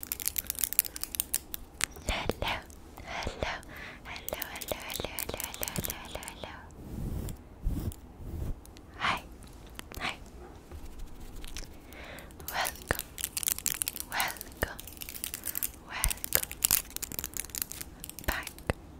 Hello, hello, hello, hello, hello, hello, hello, hello, hello, Hi, hi. Welcome, welcome, welcome back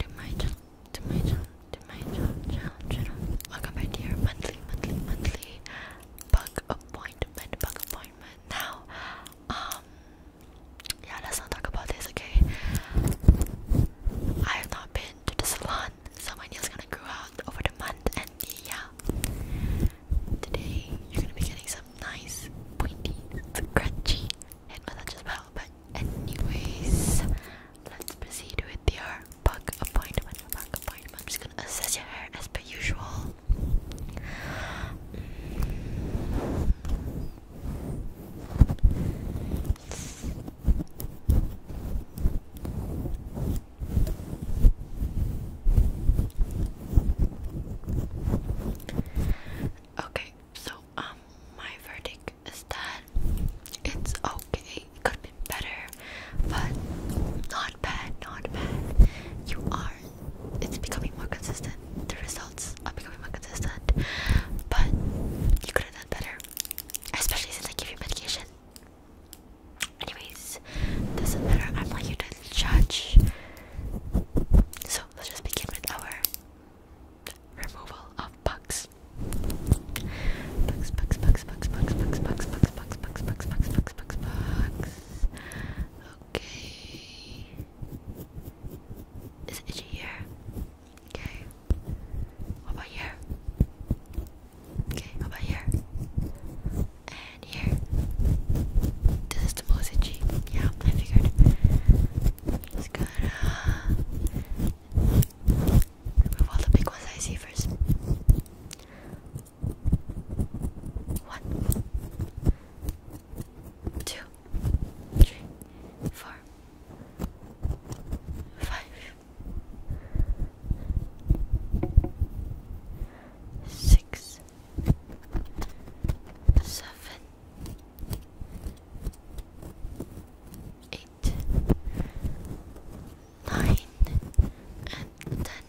to my channel, to my channel, to my channel, channel, channel. Welcome back to your monthly, monthly, monthly bug appointment, bug appointment. Now, um, yeah, let's not talk about this, okay? I have not been to the salon, so my nails gonna grow out over the month, and yeah, today you're gonna be getting some nice, pointy, scratchy and massage as well. But anyways, let's proceed with your bug appointment. I'm just gonna assess your hair as per usual. Okay, so um my verdict is that it's okay. It could have been better but not bad, not bad. You are. It's becoming more consistent. The results are becoming more consistent, but you could have done better, especially since I give you medication. Anyways, doesn't matter. I'm not here to judge. So let's just begin with our removal of bugs. Bugs, bugs, bugs, bugs, bugs, bugs, bugs, bugs, bugs, bugs, bugs, bugs, bugs, bugs, bugs. Okay. Is it here? Okay. What about here? Okay, how about here? And here. This is the most itchy. Yeah, I figured. Just gonna remove all the big ones I see first. One, two, three, four, five, six, seven, eight nine, and ten.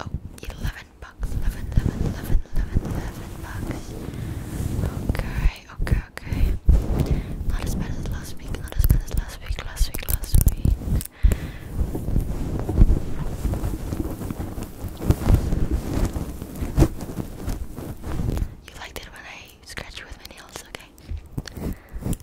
Oh, eleven bucks. Eleven, eleven, eleven, eleven, eleven bucks. Okay, okay, okay. Not as bad as last week. Not as bad as last week. Last week. Last week. You liked it when I scratched with my nails, okay?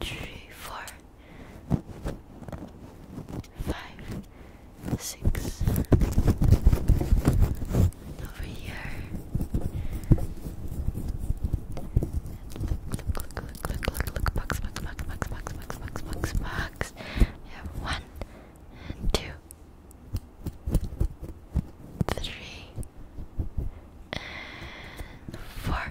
three, four, five, six. over here. look, look, look, look, look, look, box, box, box, box, box, box, box, box, box. have one and two. Three and four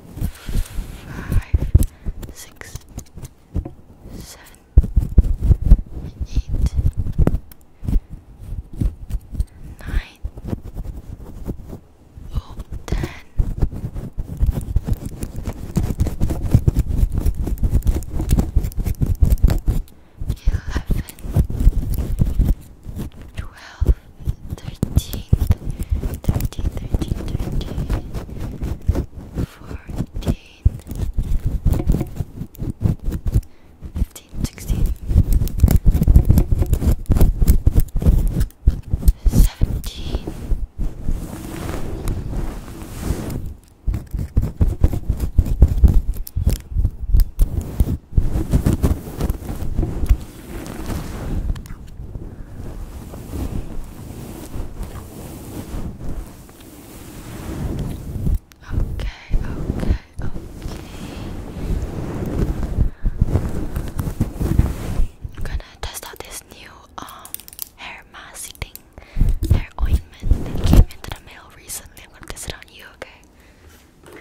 Five, six, seven, eight, nine, ten, eleven, twelve. 13, 14, 15, 16, 17, 18 Okay, okay, okay. I'm gonna test out this new um hair mask thing, hair ointment that came into the mail recently. I'm gonna test it on you, okay?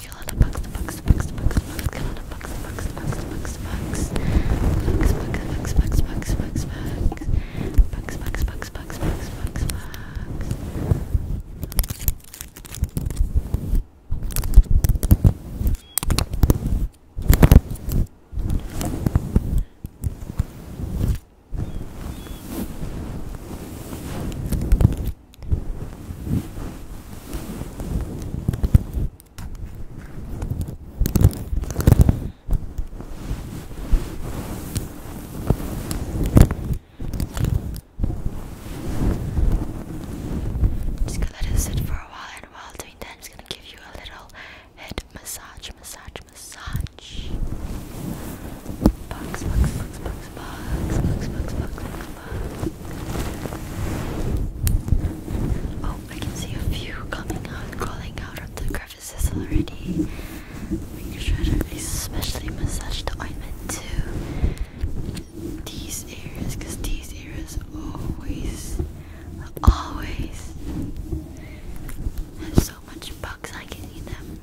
bugs, kill all the bugs, the bugs, the bugs, the bugs, the bugs, kill all the bugs, the bugs, the bugs, the bugs, the bugs, bugs, bugs, bugs, bugs, bugs, bugs, bugs, bugs, bugs, bugs, bugs, bugs, bugs. Just gonna let it sit for a while, and while doing that, I'm just gonna give you a little head massage, massage, massage. Box, box, box, box, box, box, box, box, box. Oh, I can see a few coming out, crawling out of the crevices already. Make sure to especially massage the ointment to these areas, because these areas always, always have so much bugs hiding in them.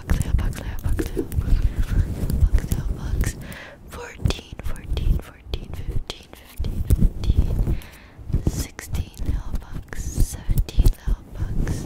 Foxtail, Foxtail, Foxtail, Foxtail, Fox. 14, 14, 14, 15, 15, 15. 16 little bucks, 17 little bucks.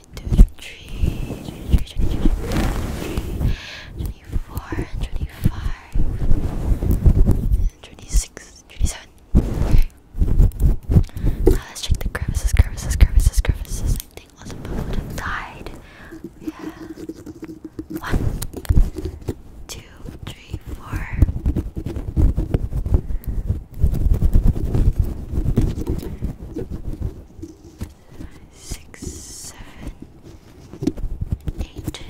26, Okay. Now let's check the crevices, crevices, crevices, crevices. I think all the people would have died. Yeah. One, two, three, four. Six, seven, eight,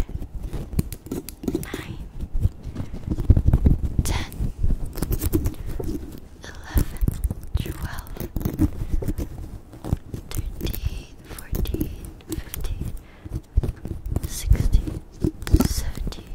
nine, ten, eleven, twelve, thirteen, fourteen, fifteen, sixteen, seventeen,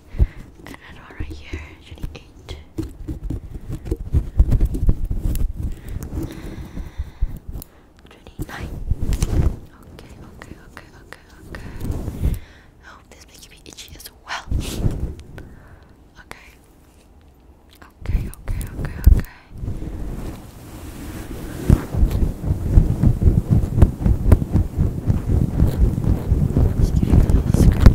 and another right here, actually Okay, okay, okay, okay, okay. I hope this makes me itchy as well. okay. Okay, okay, okay, okay. Just give you a little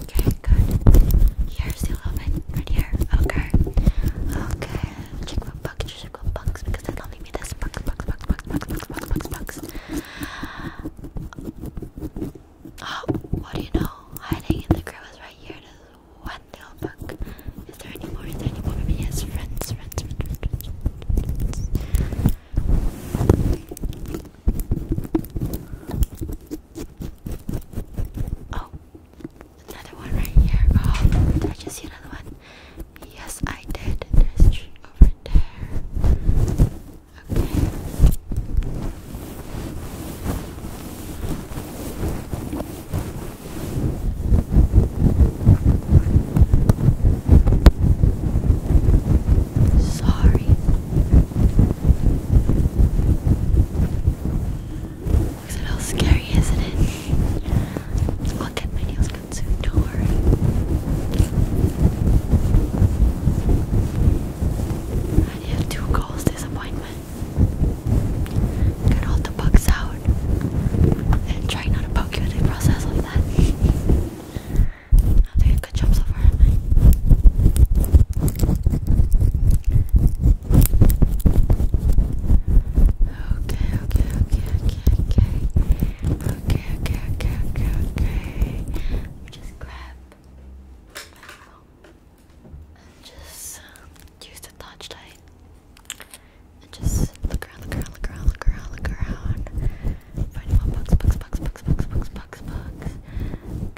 Okay, good. Here's the little bit right here. Okay. Okay. Check what bugs, check what bugs, because they're loving me this. Bugs, bugs, bugs, bugs, bugs, bugs, bugs, bugs, Oh, what do you know? Hiding in the crevice right here. one little bug. Is there any more? Is there any friends, friends, friends, friends, friends. Oh, another one right here. Oh, did I just see another one? Yes, I did. There's three over there. Okay. Sorry, Looks a little scary, isn't it? I'll get my nails done soon, don't worry. I have two goals this Get all the bugs out and try not to poke you in the process of that. I'm doing a good job so far, Okay, okay, okay, okay, okay. Okay, okay, okay, okay, okay. just grab and just um, use the touchlight. And just look around, look around, look around, look around, look around. Find more bugs, bugs, bugs, bugs, bugs, bugs, bugs, bugs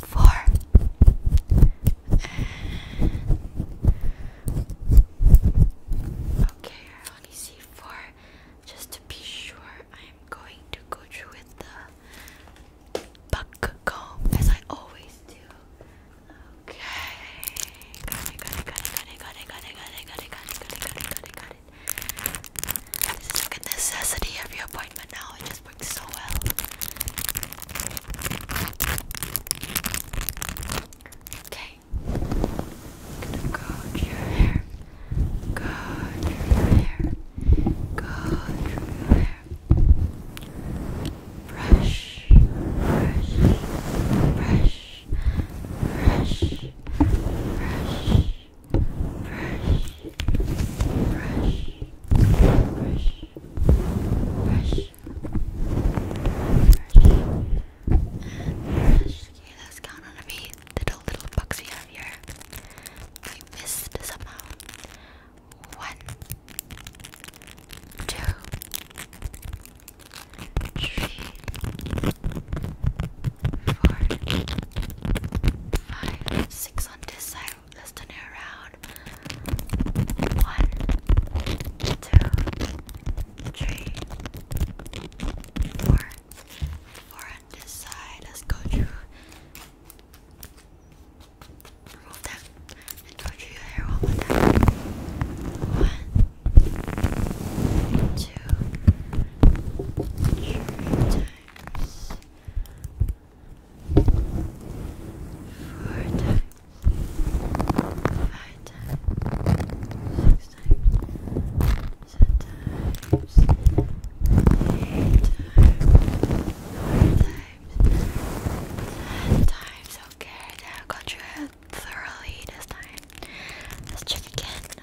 four, okay, I four. Just to be sure, I am going to go through with the buck comb as I always do. Okay, it's like a necessity of your appointment now. It just works so well. Okay. i your hair. Go your hair. Go your hair. brush, brush, brush, brush, brush. Okay, let's count on me. Little little bugs we have here. We missed somehow. One, two, three, four, five, six on this side. Let's turn it around. One, two, three, four. Four on this side. Let's go through. Remove four times, five times, six times, seven times, eight times, nine times, ten times. Okay, that got you thoroughly this time. Let's check again.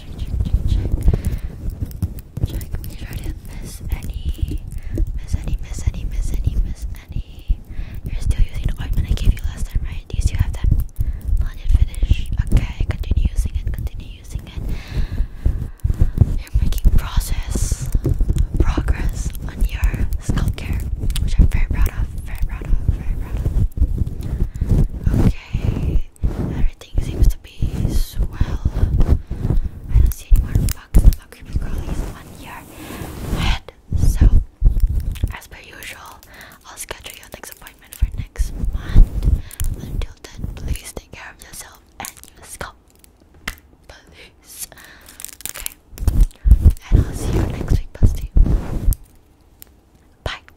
check, check, check, check. Check, make sure I miss any. Miss any, miss any, miss any, miss any. You're still using the ointment I gave you last time, right? Do you still have that blended finish? Okay, continue using it, continue using it. You're making process, progress on your scalp care, which I'm very proud of, very proud of, very proud Okay, everything seems to be swell. I don't see any more bugs about creepy crawlies on your head. So, as per usual, I'll schedule your next appointment for next month. Until then, please take care of yourself and your scalp. Please. Okay. And I'll see you next week, Busty. Bye.